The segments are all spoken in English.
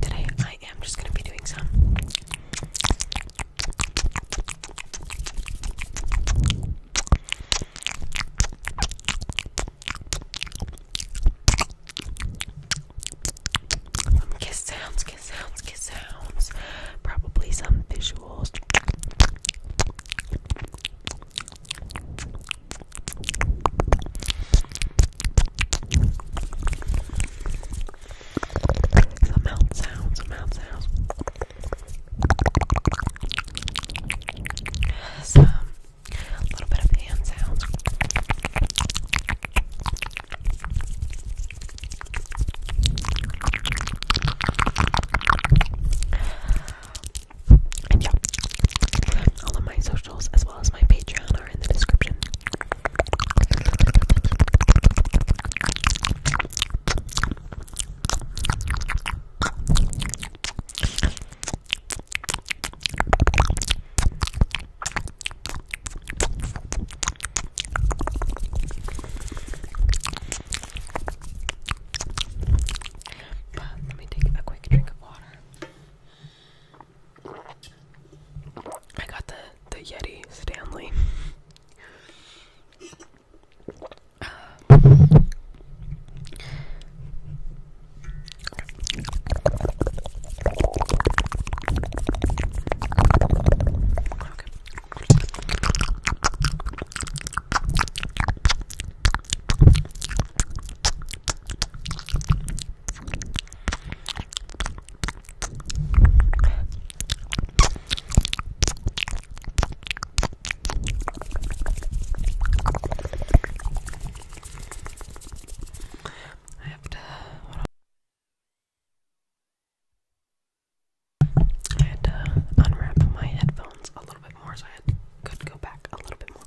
Today I am just going to be doing some kiss sounds, kiss sounds, kiss sounds. Probably some visuals. The mouth sounds, the mouth sounds. Some um, little bit of hand sounds. And yeah, all of my social as well as my Patreon are in the description. let me take a quick drink of water. I got the the Yeti Stanley. Uh, I have to. I had to unwrap my headphones a little bit more, so I could go back a little bit more.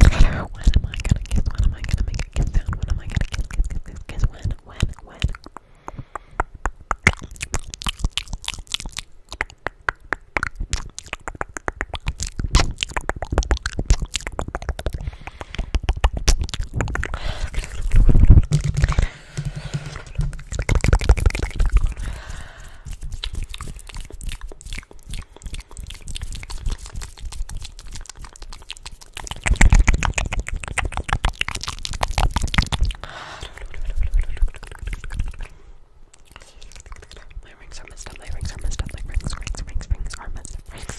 When am I gonna kiss? When am I gonna make a kiss sound? When am I gonna kiss, kiss, kiss, kiss, kiss? When, when, when? My rings are messed up, my rings are messed up, my rings, rings, rings, rings are messed up, rings.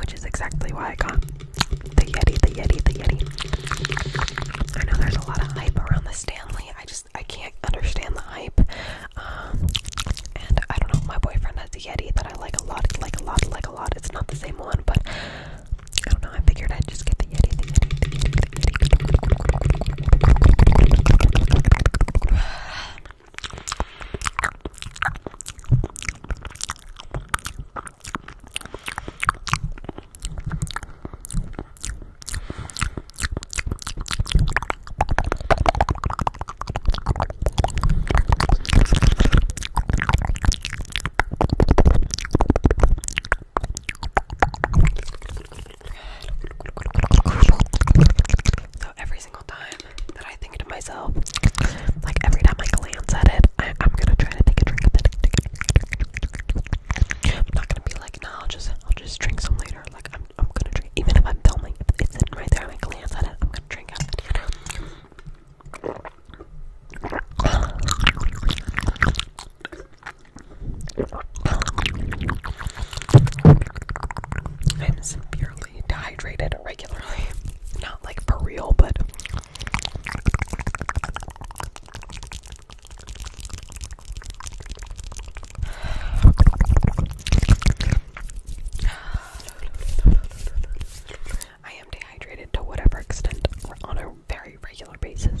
Which is exactly why I got the Yeti, the Yeti, the Yeti. I know there's a lot of hype around the Stanley. I just I can't understand the hype. Um, and I don't know. My boyfriend has a Yeti that I like a lot, like a lot, like a lot. It's not the same one, but I don't know. I figured I'd just get the Yeti, the Yeti, the Yeti, the Yeti. So every single time that I think to myself, like every time I glance at it, I, I'm gonna try to take a drink of it. I'm not gonna be like, no, I'll just, I'll just drink some later. Like I'm, I'm gonna drink. Even if I'm filming, if it's sitting right there, and I glance at it, I'm gonna drink out of it. You know? I'm severely dehydrated regularly. Not like for real, but I am dehydrated to whatever extent on a very regular basis,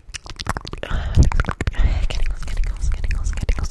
Giggles, giggles, giggles, giggles.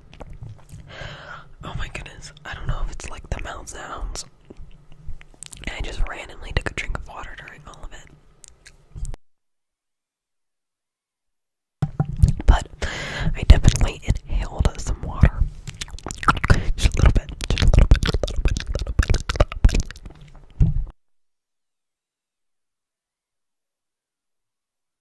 Oh my goodness, I don't know if it's like the mouth sounds. I just randomly took a drink of water during all of it. But I definitely inhaled some water. Just a little bit, just a little bit, a little bit. A little bit.